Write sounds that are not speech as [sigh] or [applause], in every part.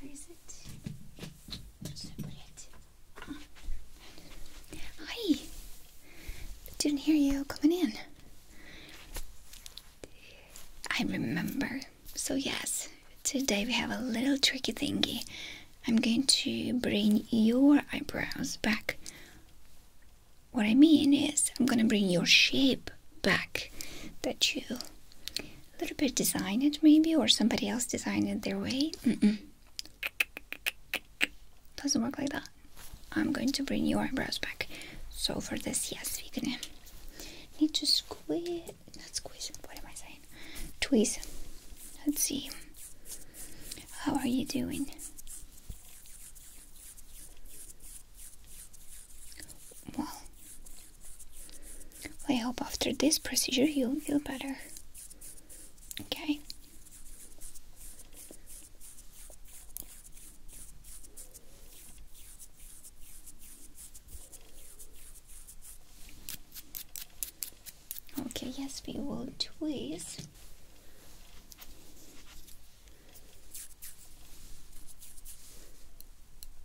Where is it? I Hi! Didn't hear you coming in. I remember. So yes, today we have a little tricky thingy. I'm going to bring your eyebrows back. What I mean is, I'm gonna bring your shape back that you a little bit design it maybe or somebody else design it their way doesn't work like that i'm going to bring your eyebrows back so for this yes we're gonna need to squeeze not squeeze what am i saying tweeze let's see how are you doing I hope after this procedure you'll feel better. Okay. Okay, yes, we will twist.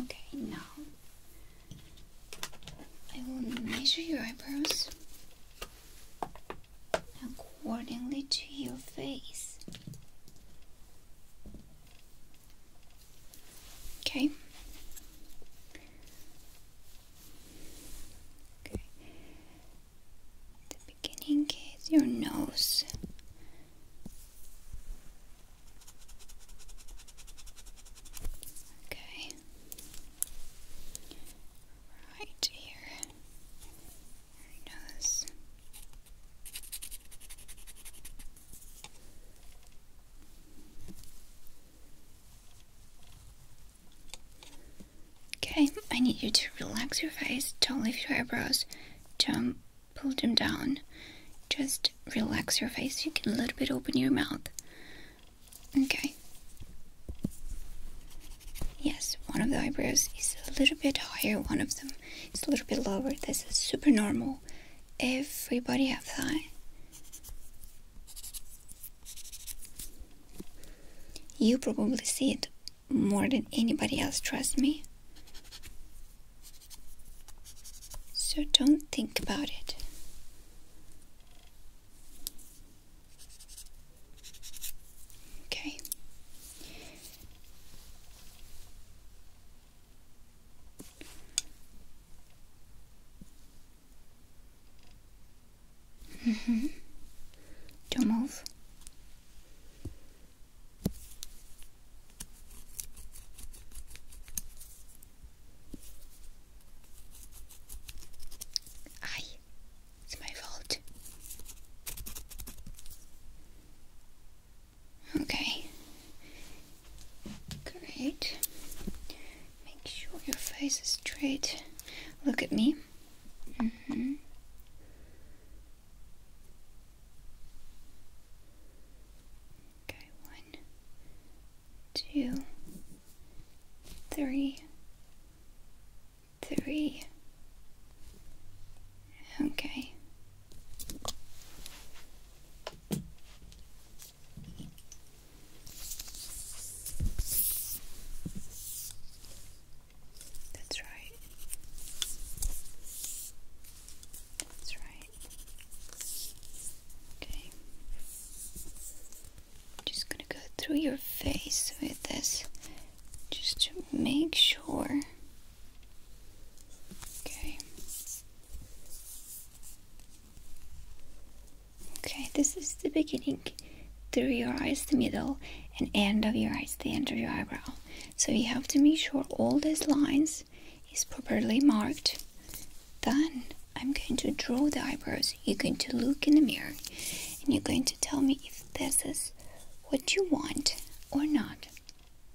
Okay, now I will measure your eyebrows accordingly to your face. Okay. Okay. The beginning is your nose. Okay right here. nose. Okay, I need you to relax your face. Don't lift your eyebrows. Don't pull them down. Just relax your face. You can a little bit open your mouth. Okay. Yes, one of the eyebrows is a little bit higher, one of them is a little bit lower. This is super normal. Everybody have that. You probably see it more than anybody else, trust me. So don't think about it. Okay. Mm hmm do I it's my fault. Okay. Great. Make sure your face is straight. Look at me. Mm -hmm. Okay, one, two, three, three. Okay. That's right. That's right. Okay. I'm just gonna go through your face with this just to make sure. Okay. Okay, this is the beginning through your eyes, the middle, and end of your eyes, the end of your eyebrow. So you have to make sure all these lines is properly marked. Then I'm going to draw the eyebrows. You're going to look in the mirror and you're going to tell me if this is what you want or not.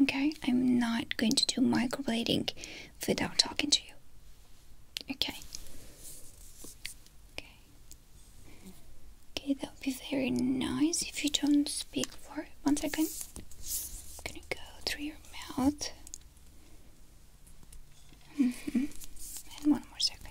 Okay? I'm not going to do microblading without talking to you. Okay. Okay. Okay, that would be very nice if you don't speak for one second. I'm gonna go through your mouth. Mm-hmm. And one more second.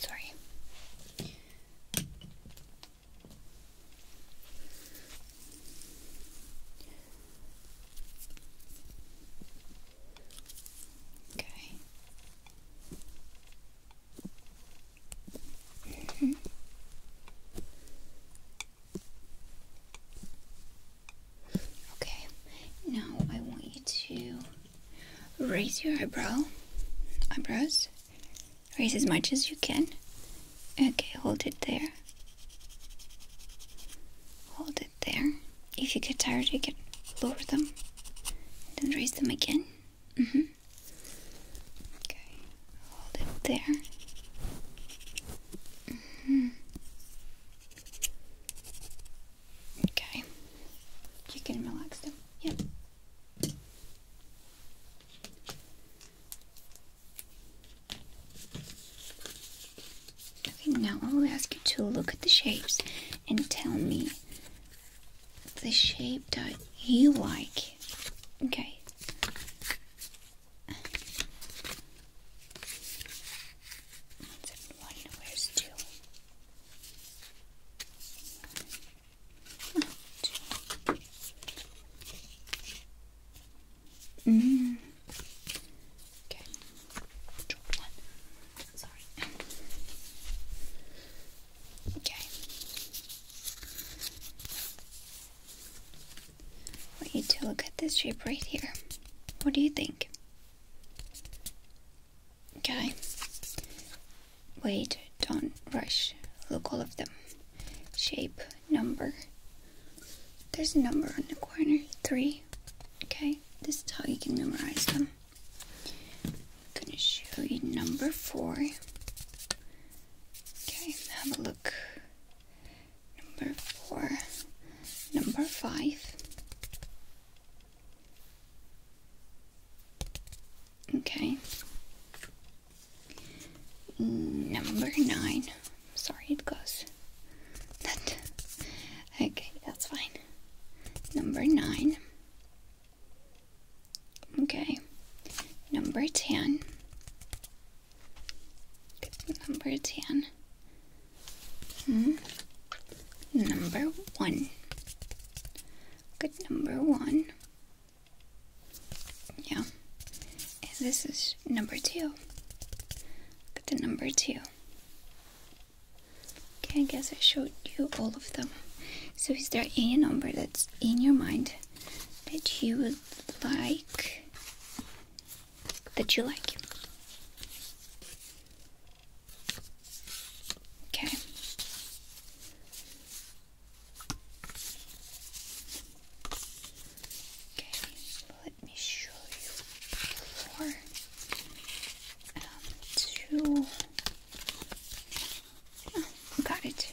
Sorry. Okay. -hmm. [laughs] Okay, now I want you to raise your eyebrow, eyebrows, raise as much as you can. Okay, hold it there. Hold it there. If you get tired, you can lower them, and then raise them again. Mm hmm Okay. Hold it there. Mm-hmm. Okay. You can relax them. Yep. Okay, now I will ask you to look at the shapes and tell me the shape that you like. Okay one. Where's two? two. one. Sorry. Okay. I want you to look at this shape right here. What do you think? Okay. Wait, don't rush. Look all of them. Shape, number. There's a number on the corner. Three. Okay, this is how you can memorize them. I'm gonna show you number four. Okay, have a look number four, number five. Okay. Number nine. Sorry, it goes. That. Okay, that's fine. Number nine. Okay. Number ten. Number 10. Hmm. Number 1. Good number 1. Yeah. And this is number 2. Good number 2. Okay, I guess I showed you all of them. So is there any number that's in your mind that you would like that you like. Okay. Okay, let me show you four, um, two. Oh, got it.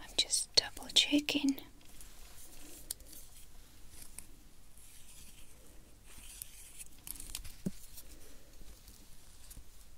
I'm just double checking.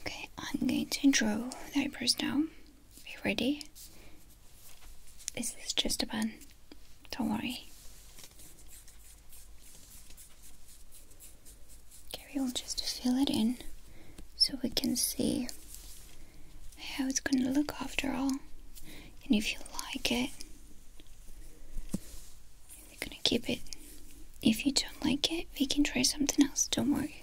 Okay, I'm going to draw the eyebrows now. Are you ready? This is just a pen. Don't worry. Okay, we'll just fill it in so we can see how it's gonna look after all. And if you like it, you are gonna keep it. If you don't like it, we can try something else, don't worry.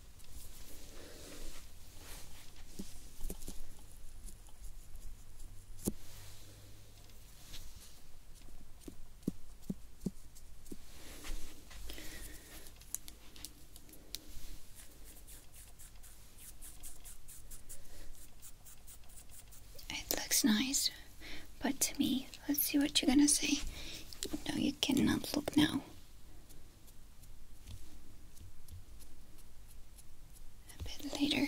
It looks nice, but to me, let's see what you're gonna say. No, you cannot look now a bit later.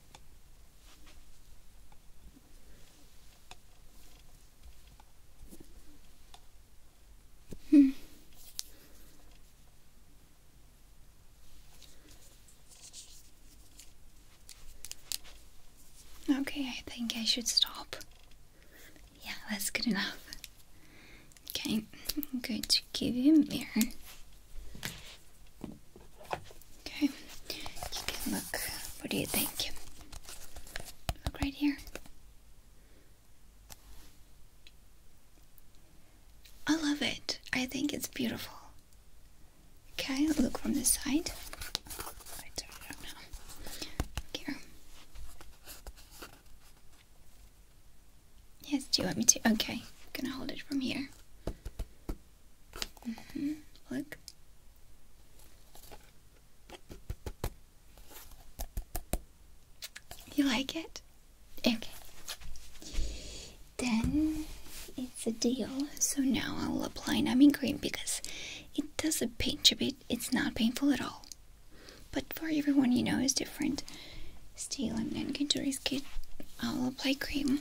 Hmm. Okay, I think I should stop. Yeah, that's good enough. Okay, [laughs] I'm going to give you a mirror. Okay, you can look. What do you think? Look right here. I love it. I think it's beautiful. Okay, look from the side. Yes, do you want me to? Okay, I'm gonna hold it from here. Look. You like it? Okay. Then it's a deal. So now I'll apply numbing cream because it does a pinch a bit. It's not painful at all. But for everyone, you know, is different. Still, I'm not going to risk it. I'll apply cream.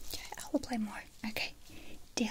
Okay, I will play more. Okay, deal.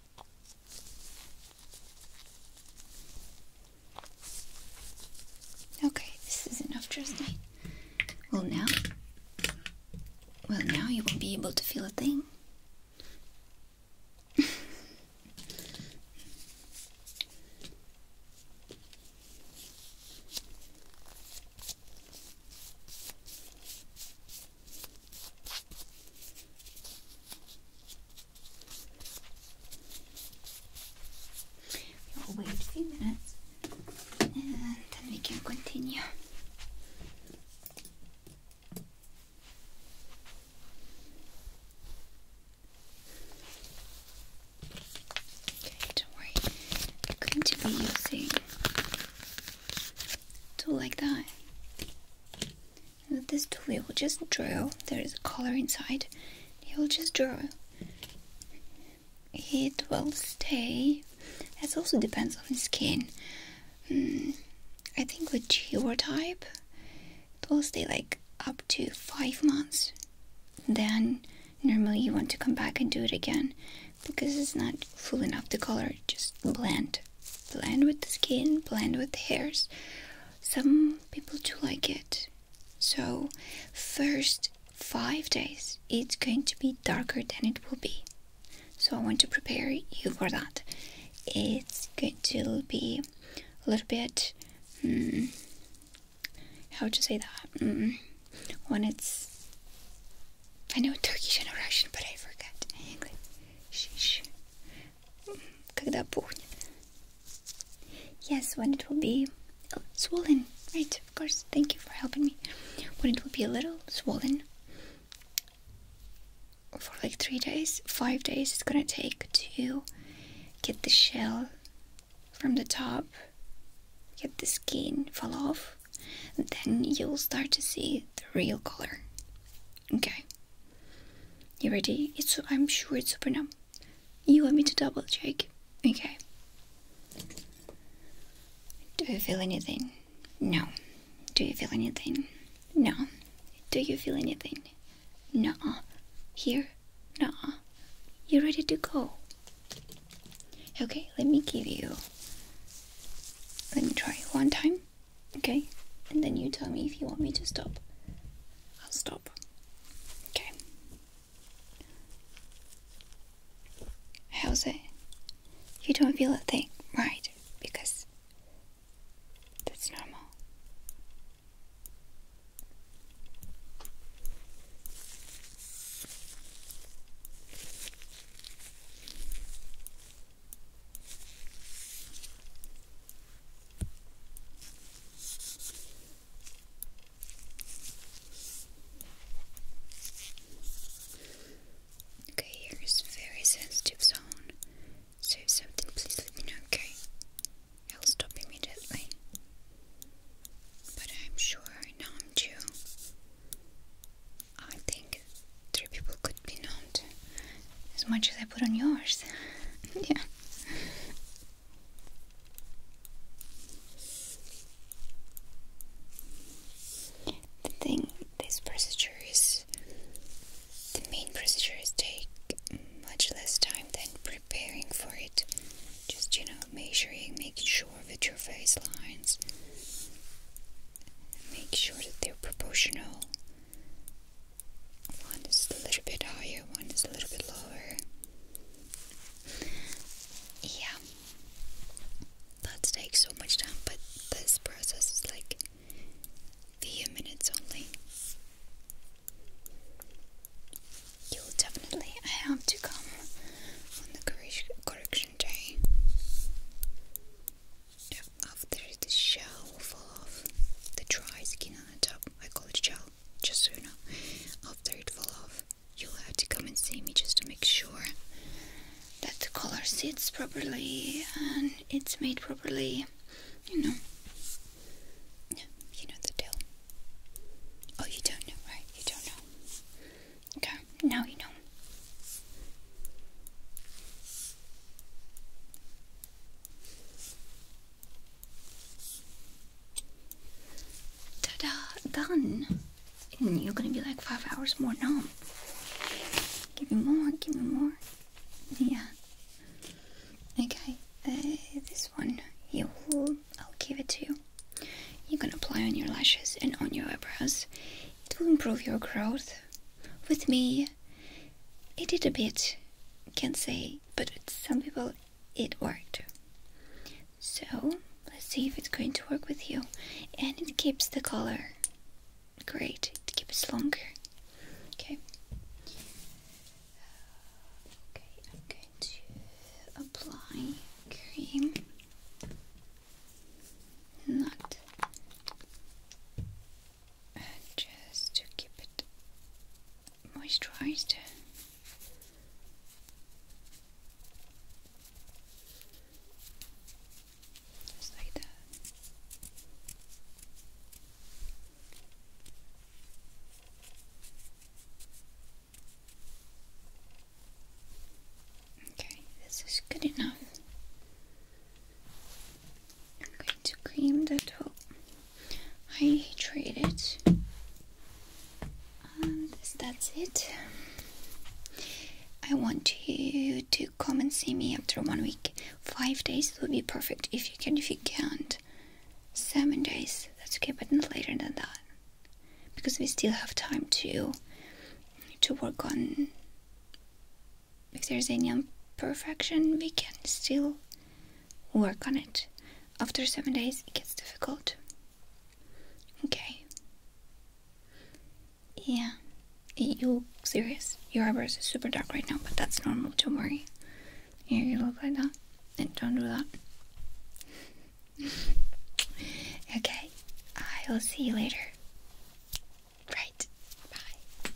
Okay, this is enough, trust me. Well, now. Well, now you won't be able to feel a thing. We'll wait a few minutes and then we can continue. Okay, don't worry. I'm going to be using a like that this tool will just draw, there is a color inside, It will just draw. It will stay, it also depends on the skin. Hmm, I think with your type, it will stay like up to 5 months. Then normally you want to come back and do it again because it's not full enough the color, just blend. Blend with the skin, blend with the hairs, some people do like it. So, first five days it's going to be darker than it will be. So, I want to prepare you for that. It's going to be a little bit. Mm, how to say that? Hmm, when it's. I know Turkish and Russian, but I forgot English. Sheesh. Yes, when it will be oh, swollen. Right, of course. Thank you for helping me. When it will be a little swollen for like three days, five days, it's gonna take to get the shell from the top, get the skin fall off, then you'll start to see the real color. Okay. You ready? It's I'm sure it's super numb. You want me to double check? Okay. Do you feel anything? No. Do you feel anything? No. Do you feel anything? No. Here? No. You ready to go? Okay, let me give you. Let me try one time. Okay? And then you tell me if you want me to stop. I'll stop. Okay. How's it? You don't feel a thing, right? Because that's normal. Okay, here is very sensitive zone. So something, please let me know, okay? I'll stop immediately. But I'm sure numbed you. I think three people could be numbed as much as I put on yours. [laughs] yeah the thing this procedure is the main procedures take much less time than preparing for it just you know measuring making sure that your face lines make sure that they're proportional one is a little bit higher, one is a little bit lower. Yeah, that takes so much time, but this process is like few minutes only. You'll definitely have to come on the correction day. After the show fall off, the dry skin top. Uh, I call it gel, just so you know. After it fall off, you'll have to come and see me just to make sure that the color sits properly and it's made properly. You know. Yeah, you know the deal. Oh, you don't know, right? You don't know. Okay, now you know. Ta-da! Done! you're gonna be like five hours more numb. Give me more, give me more. Yeah. Okay, uh, this one, you I'll give it to you. You can apply on your lashes and on your eyebrows. It will improve your growth. With me, it did a bit, can't say, but some people it worked. So let's see if it's going to work with you. And it keeps the color. Great, it keeps longer. Okay. Okay, I'm going to apply cream. Not just to keep it moisturized. Just like that. Okay, this is good enough. I'm going to cream the top. I trade it. And that's it. I want you to come and see me after one week. Five days would be perfect if you can. If you can't, seven days, that's okay, but not later than that, because we still have time to to work on. If there's any imperfection, we can still work on it. After seven days, it gets difficult. Okay. Yeah. You serious? Your eyebrows are super dark right now, but that's normal. Don't worry. Here, you look like that. don't do that. [laughs] okay. I will see you later. Right. Bye.